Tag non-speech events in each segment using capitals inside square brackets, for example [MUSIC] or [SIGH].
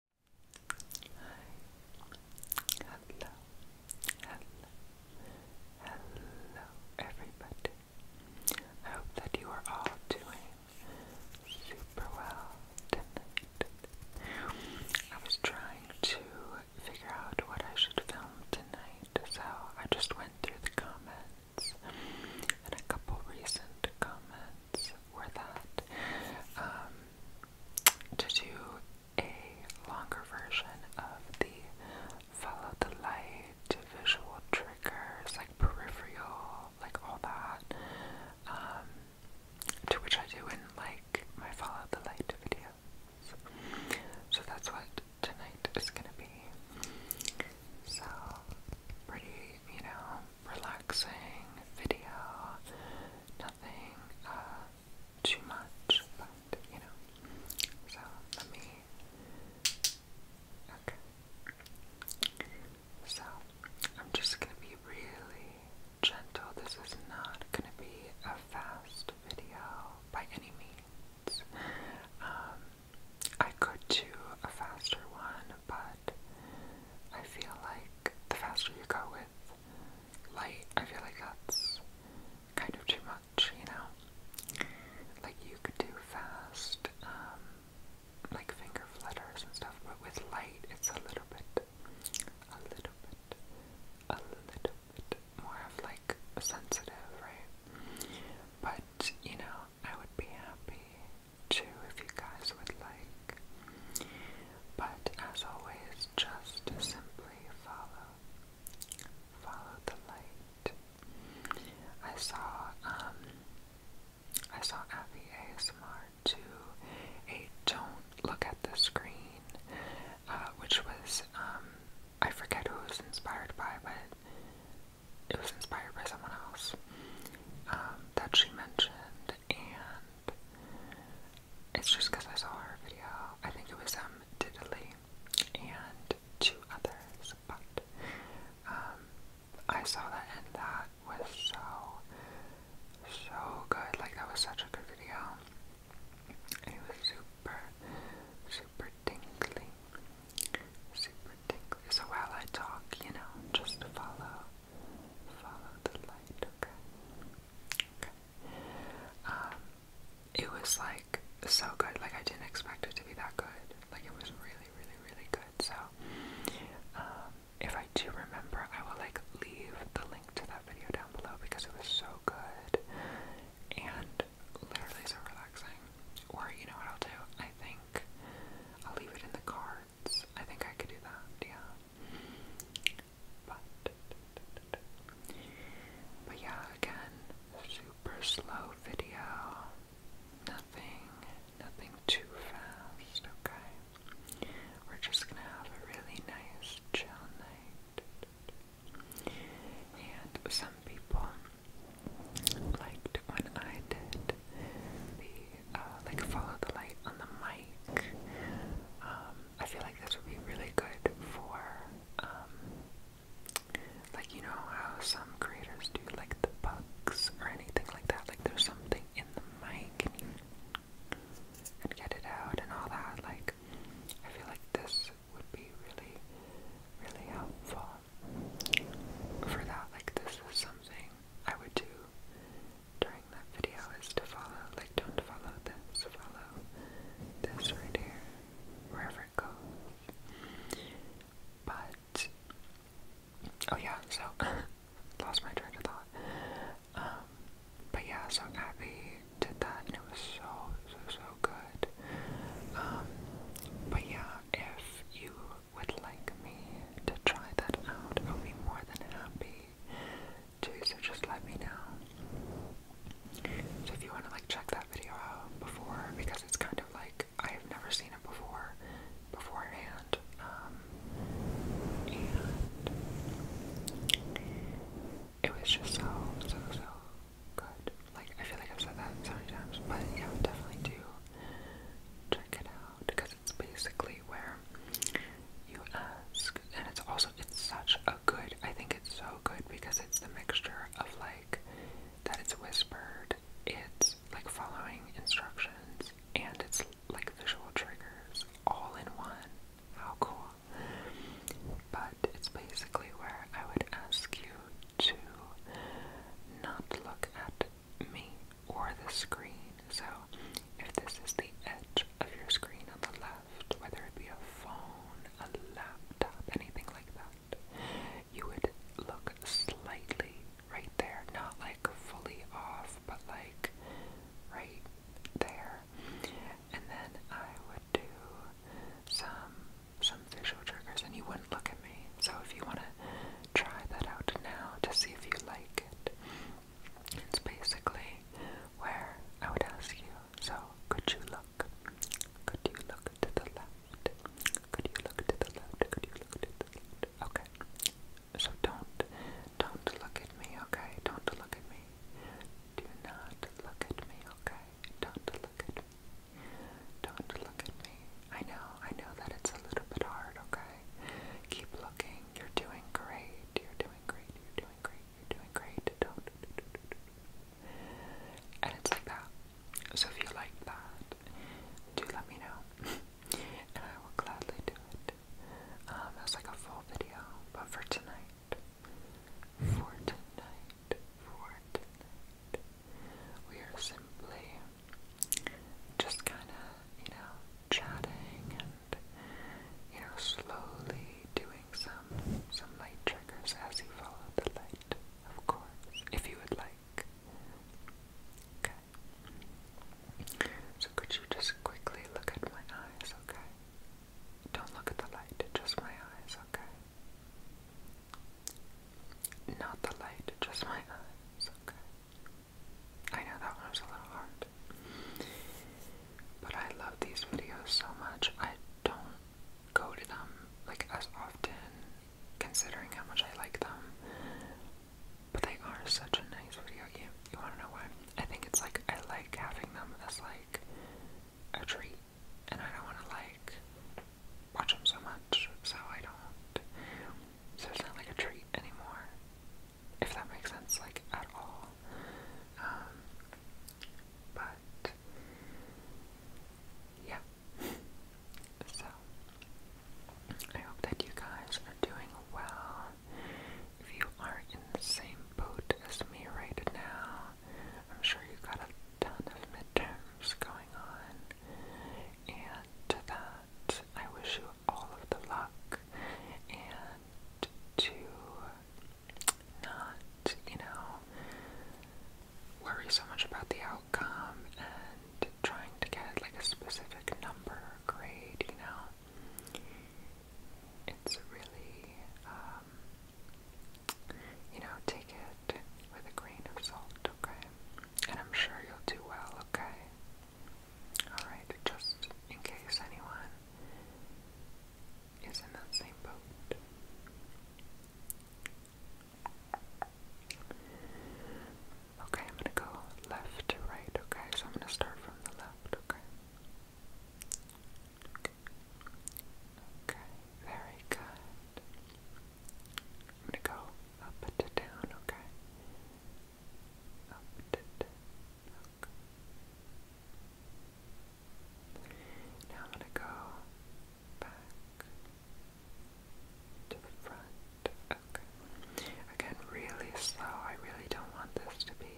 hello, hello, hello, everybody. I hope that you are all doing super well tonight. I was trying to figure out what I should film tonight, so I just went through the comments and a couple recent comments friends that um, to do a longer version of the follow the light, visual triggers, like peripheral, like all that, um, to which I do in like my follow the light videos. So that's what tonight is gonna be. So pretty, you know, relaxing video nothing uh, too much, but you know. So let me. Okay. So I'm just gonna be really gentle. This is not gonna be a fast video by any means. Um, I could do a faster one, but I feel like the faster you go with light, I feel like that's kind of too much, you know? Like, you could do fast, um, like finger flutters and stuff, but with light, it's a little bit, a little bit, a little bit more of like sensitive, right? But, you know, I would be happy too if you guys would like but as always, just simply follow, follow the light. I saw, um, I saw Abby ASMR do a "Don't look at the screen," uh, which was, um, I forget who was inspired by, but it was inspired by someone else um, that she mentioned, and it's just because I saw her video. I think it was um Diddley and two others, but um I saw that and that was so so good. Like that was such a good video. And it was super super tingly. Super tingly. So while I talk, you know, just follow follow the light, okay? Okay. Um, it was like so good. Like I didn't expect it to be that good. Like it was really, really, really good. So, um, if I do remember, I will like leave the link to that video down below because it was so good and literally so relaxing. Or you know what I'll do? I think I'll leave it in the cards. I think I could do that. Yeah, but, but yeah, again, super slow video. Nothing, nothing too fast, okay? We're just gonna have a really nice chill night. And some people liked when I did the, uh, like follow the light on the mic. Um, I feel like this would be really good for, um, like, you know how some creators do, like, the bugs or anything like that. Like, there's something in the mic and and get it out and all that. Like, I feel like this would be really, really helpful for that. Like, this is something I would do during that video is to follow, like don't follow this, follow this right here, wherever it goes. But, oh yeah, so, [LAUGHS] lost my train of thought. Um, but yeah, so Abby did that and it was so, so, so good. Um, but yeah, if you would like me to try that out, I'll be more than happy too, so just let me know. So if you want to like check that video out before, because it's kind of like I have never seen it before, beforehand. Um, and it was just so, so, so good. Like I feel like I've said that so many times, but yeah, definitely do check it out because it's basically where you ask. And it's also, it's such a good, I think it's so good because it's the mixture of like, that it's whispered, it's like following instructions, and it's like visual triggers all in one. How cool. But it's basically where I would ask you to not look at me or the screen so if this is the edge of your screen on the left, whether it be a phone, a laptop, anything like that, you would look slightly right there, not like fully off, but like right there. And then I would do some some visual triggers and you wouldn't look at me. So if you want to try that out now to see if you like it, it's basically where I would ask you, so could you look? Could you look to the left? Could you look to the left? Could you look to the left? Okay. So don't don't look at me, okay? Don't look at me. Do not look at me, okay? Don't look at me. Don't look at me. I know, I know that it's a little bit hard, okay? Keep looking. You're doing great. You're doing great. You're doing great you're doing great. And it's like that. So if you like that, do let me know. [LAUGHS] and I will gladly do it. Um, as like a full video, but for tonight, for tonight, for tonight, we are simply just kind of, you know, chatting and you know slowly doing some some light triggers as you follow the light, of course, if you would like. Okay. So could you just quickly look at my eyes, okay? Don't look at the light, just my eyes, okay? Not the light, just my eyes, okay? I know that one was a little hard. But I love these videos so much. I don't go to them like as often considering how much I like them. But they are such a nice video. You, you wanna know why? I think it's like I like having them as like a treat and I don't wanna like watch them so much so I don't so it's not like a treat anymore if that makes sense, like at all. Um, but yeah. so I hope that you guys are doing well. If you are in the same boat as me right now, I'm sure you've got a ton of midterms going on. And to that, I wish you all of the luck and to not, you know, worry so much about the outcome and trying to get like a specific number or grade, you know. It's really, um, you know, take it with a grain of salt, okay? And I'm sure you'll do well, okay? Alright, just in case anyone is in that same boat. Okay, I'm gonna go left to right, okay? So I'm gonna start from the left, okay? Okay, very good. I'm gonna go up to down, okay? Up to now I'm going to go back to the front. Okay. Again, really slow. I really don't want this to be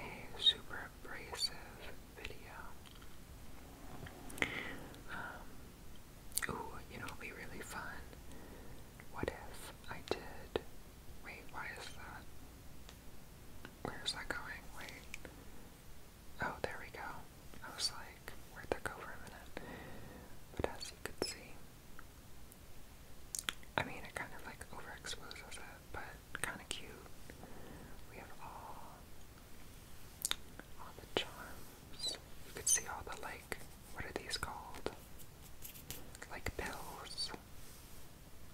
a super abrasive video. Um, ooh, you know, it'll be really fun. What if I did? Wait, why is that? Where's that going? Wait. Oh, there we go. I was like, where'd that go for a minute? But as you could see, I mean, it kind of like overexposes it, but kind of cute. We have all, all the charms. You can see all the like, what are these called? Like pills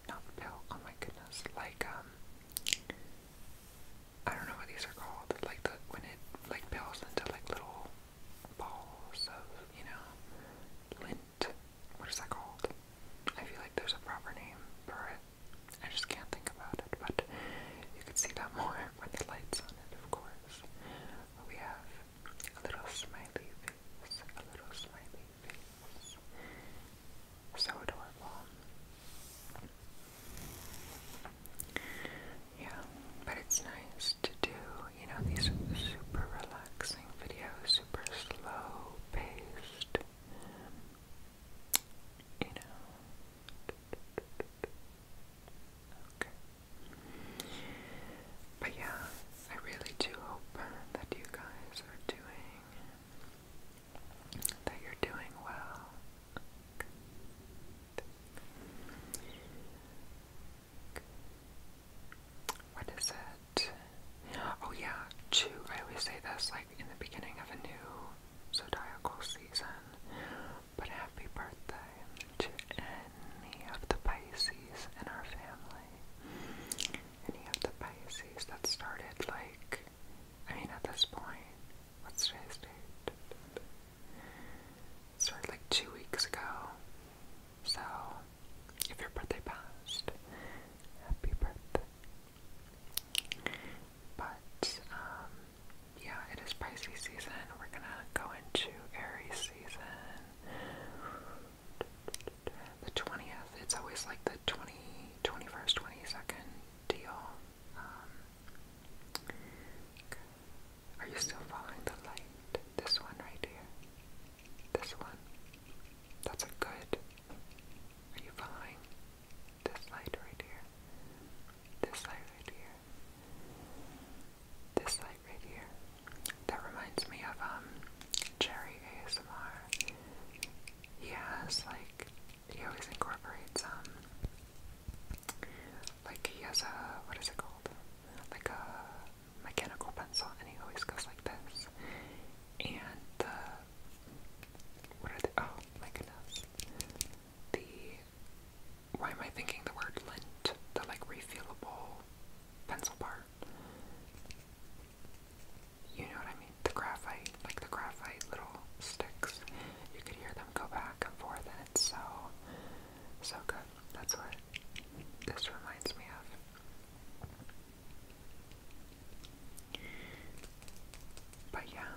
not pill, oh my goodness, like, um, I don't know what these are called, like the, when it, like, pills into, like, little balls of, you know, lint, what is that called? I feel like there's a proper name for it, I just can't think about it, but you could see that more [LAUGHS] with the lights on it, of course. We have a little smiley face, a little smiley so adorable. Yeah, but it's nice to do, you know, these super relaxing videos, super slow paced. You know. Okay. But yeah, I really do hope that you guys are doing that you're doing well. What is it? Oh yeah, chew. I always say this like in the beginning of a new zodiacal season. But happy birthday to any of the Pisces in our family any of the Pisces that started like I mean at this point, what's today's date? It started like two weeks ago. So if your birthday passed, happy birthday. But um yeah, it is Pisces season. We're gonna go into Aries season the 20th. It's always like the 20, 21st, 22nd deal. Um, are you still following the light? This one right here. This one. That's a good. Are you following this light right here? This light right here. This light right here. That reminds me of um Cherry ASMR he has like he always incorporates um like he has a what is it called? Like a mechanical pencil and he always goes like this. And the what are the oh like goodness. The why am I thinking the word lint? The like refillable pencil part you know what I mean? The graphite, like the graphite little sticks. You could hear them go back and forth, and it's so, so good. That's what this reminds me of. But yeah.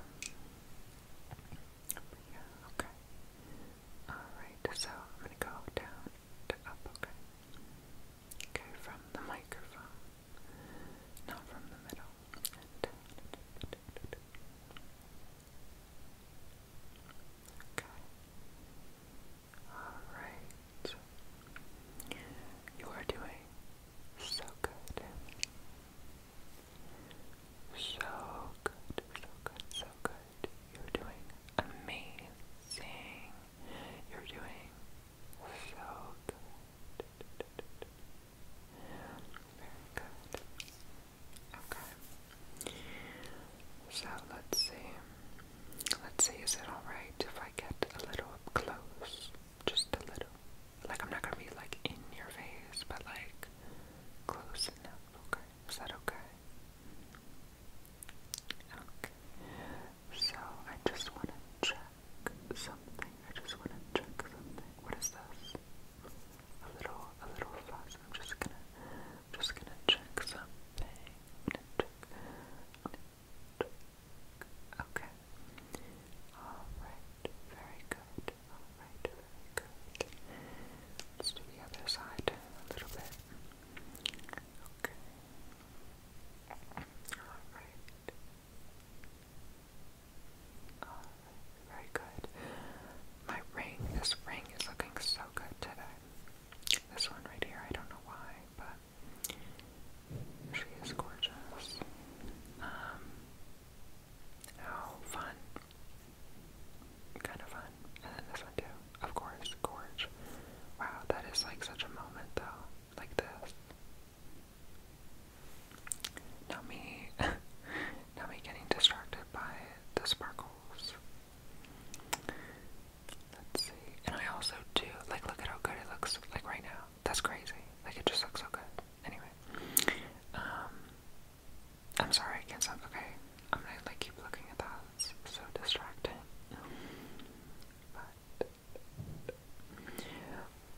yeah, okay. Alright, so I'm gonna go down to up, okay? Okay, from the microphone. Not from the middle. Alright. You are doing so good. So good, so good, so good. You're doing amazing. You're doing so Very good. Okay. So let's see. Let's see, is it alright if I get a little up close? Just a little. Like, I'm not gonna be like in your face, but like close enough. Okay. Is that okay? Okay. So I just want to check something. I just want to check something. What is this? A little, a little fuss. I'm just gonna, I'm just gonna check something. I'm gonna check. I'm gonna check. Okay. All right. Very good. All right. Very good. Let's do the other side a little bit. Okay. All right very good. My ring, this ring is looking so good today. This one right here, I don't know why, but she is gorgeous. Um, fun. Kind of fun. And then this one too. Of course, gorge. Wow, that is like such a moment though. Like this. Not me. [LAUGHS] Not me getting distracted by the sparkles. Let's see. And I also do like look at how good it looks like right now. That's crazy. Like it just looks so good. Anyway. Um I'm sorry I can't stop okay. I'm gonna like keep looking at that. It's so distracting. But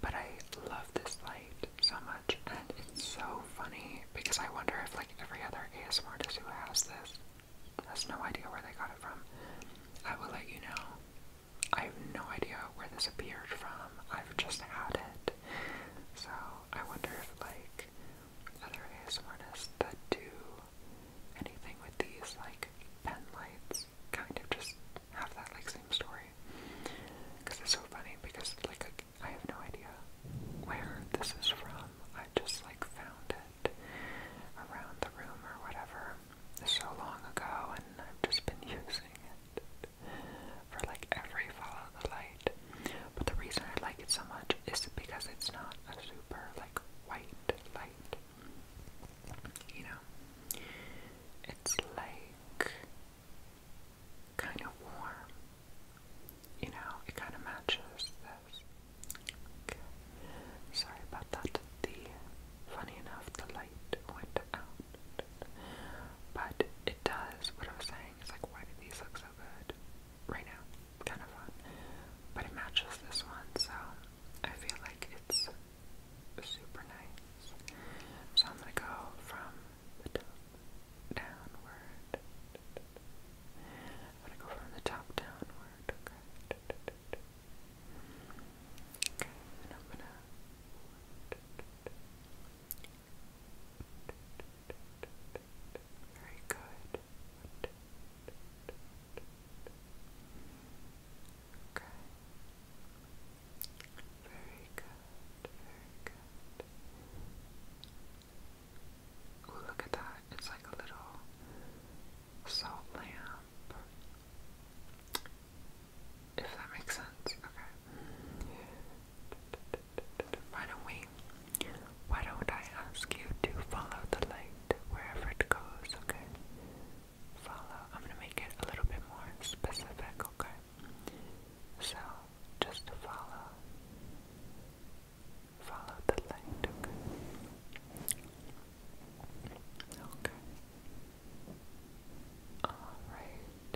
but I love this light so much, and it's so funny because I wonder if, like, every other ASMR artist who has this has no idea where they got it from. I will let you know. I have no idea where this appeared from. I've just had it. So I wonder if, like, other ASMR artists that do anything with these, like, pen lights kind of just have that like same story. Because it's so funny because like I have no idea where this is from. I just like found it around the room or whatever so long ago and I've just been [LAUGHS] using it for like every fall of the light. But the reason I like it so much is because it's not a super like white light. You know, it's like kind of warm. You know, it kind of matches this. Sorry about that. The funny enough, the light went out, but it does. What I was saying is like, why do these look so good right now? Kind of fun, but it matches this one, so I feel like it's super nice. So I'm gonna go from the top downward. I'm gonna go from the top downward, okay? very good. Okay. Very good. Very good. look at that. It's like a little salt lamp. If that makes sense. Okay. Why don't we? Why don't I ask you to follow the light wherever it goes, okay? follow. I'm going to make it a little bit more specific, okay? So, just follow. Follow the light, okay? Okay. Alright.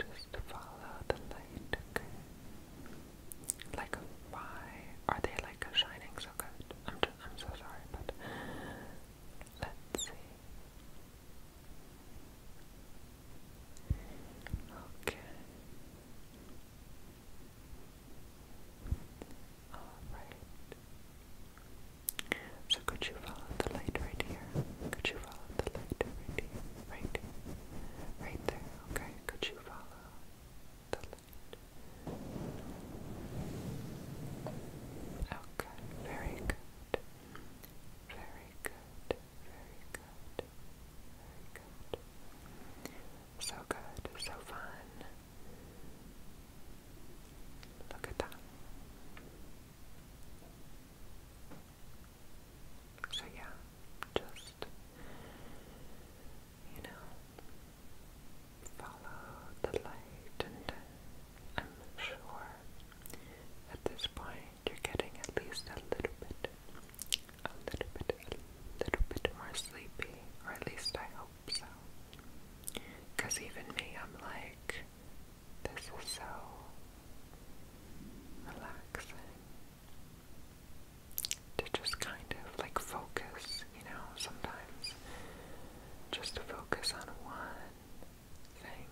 Just follow the light, okay? Like, why are they like shining so good? I'm just, I'm so sorry, but let's see. Okay. Alright. So could you follow the light right here? Could you follow the light right here? Right here. Right there. Okay. Could you follow the Okay, very good. Very good. Very good. Very good. So good. So fun. Look at that. So yeah, just you know, follow the light, and uh, I'm sure at this point you're getting at least a little bit, a little bit, a little bit more sleepy, or at least I hope so. Because even me, I'm like, this is so relaxing to just kind of like focus, you know, sometimes just to focus on one thing.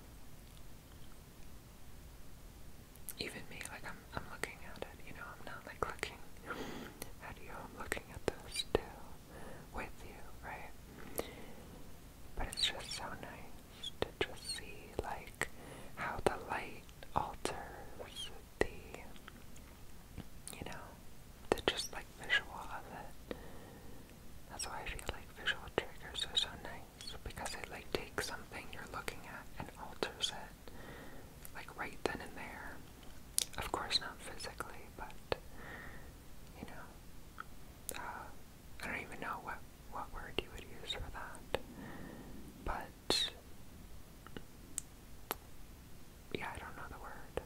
Even me, like I'm, I'm looking at it, you know, I'm not like looking at you, I'm looking at this too, with you, right? But it's just so nice to just see like how the light alters the you know, the just like visual of it. That's why I feel like visual triggers are so nice because it like takes something you're looking at and alters it, like right then and there. Of course, not physically, but you know, uh, I don't even know what what word you would use for that, but yeah, I don't know the word.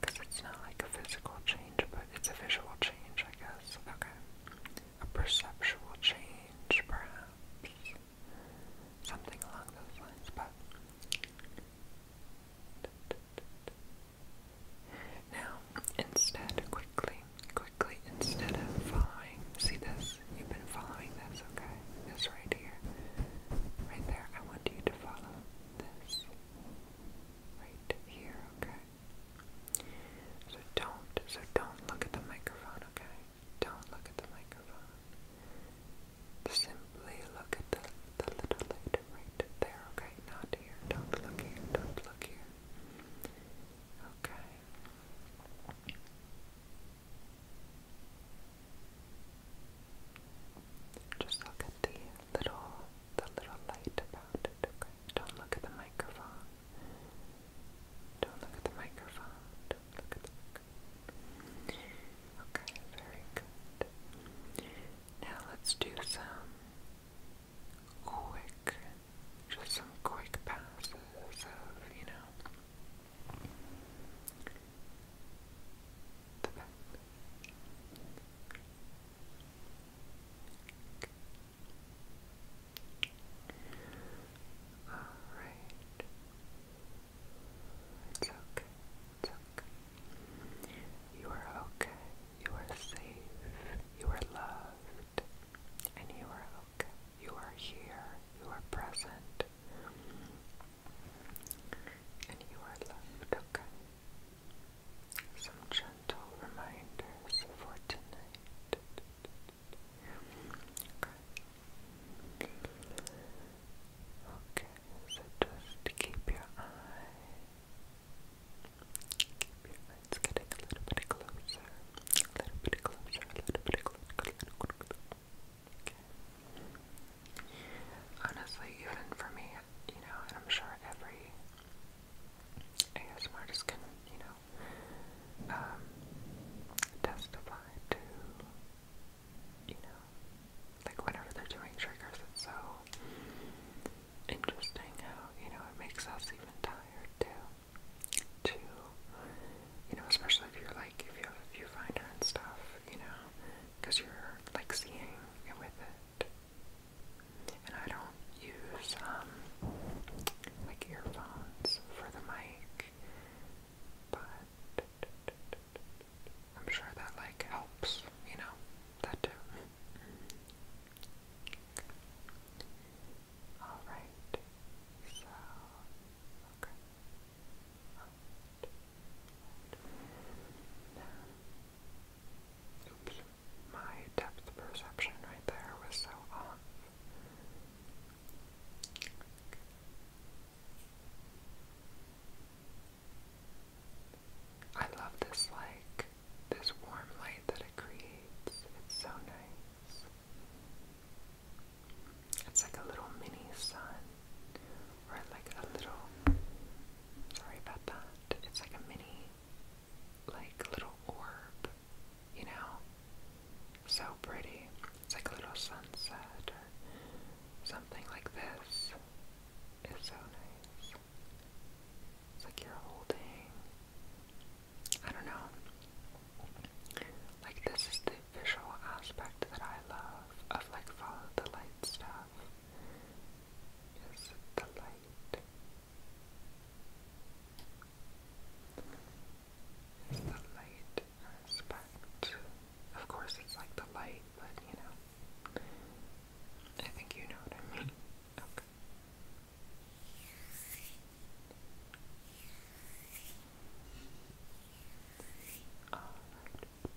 Because it's not like a physical change, but it's a visual change, I guess. Okay. A perceptual change, perhaps. Something along those lines, but. Now, instead, quickly, quickly, instead of following, see this? You've been following this, okay? This right here. Right there, I want you to follow this. Right here, okay? So don't, so don't look at the microphone, okay? Don't look at the microphone. Simply look at the, the little light right there, okay? Not here, don't look here, don't look here. Okay. Just look at the little the little light about it, okay? Don't look at the microphone. Don't look at the microphone. Don't look at the Okay, very good. Now let's do some quick just some quick passes of, you know the All right. It's okay. It's okay. You are okay. You are safe. You are loved. And you are okay. You are here. You are present and you are loved, Some gentle reminders for tonight. Okay. so just keep your eye. Keep getting A little bit closer, a little bit closer, a little bit closer. Okay. Honestly, even for me, you know, and I'm sure every ASMR just can, you know, um, testify to, you know, like whenever they're doing triggers, it's so interesting how, you know, it makes us even tired too. To, you know, especially if you're like, if you if you find her and stuff, you know, because you're like seeing it with it. And I don't use um like earphones for the mic, but I'm sure that like helps, you know, that too. All right. So, okay my depth perception right there was so off. I love this like this warm light that it creates. It's so nice. It's like a little mini sun. Or like a little, sorry about that, it's like a mini, like little orb, you know? So pretty. It's like a little sunset something like this. It's so nice. It's like you're holding, I don't know. Like this is the visual aspect that I love of like follow the light stuff. Just the light. It's the light aspect. Of course, it's like the light, but you know. I think you know what I mean. All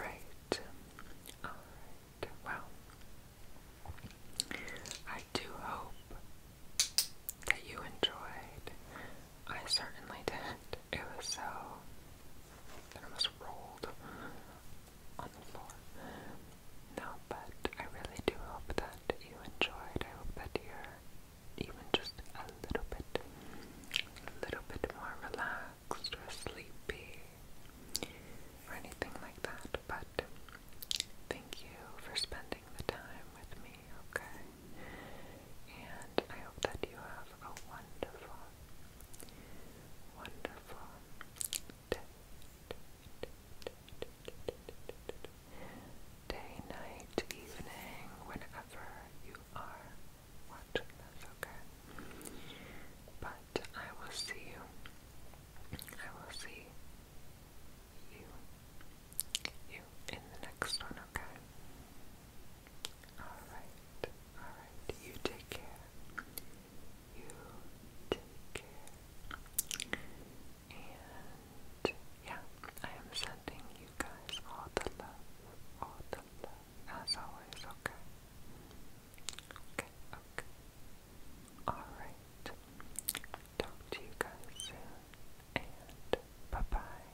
right. All right. Well, I do hope that you enjoyed. I certainly did. It was so. It almost rolled. No, but I really do hope that you enjoyed. I hope that you're even just a little bit, a little bit more relaxed or sleepy or anything like that. But thank you for spending the time with me, okay? And I hope that you have a wonderful, wonderful Day, night, evening, whenever you are watching this, okay? But I will see you. I will see you. You in the next one, okay? Alright, alright. You take care. You take care. And yeah, I am sending you guys all the love, all the love, as always, okay? Okay, okay. Alright. Talk to you guys soon, and bye bye.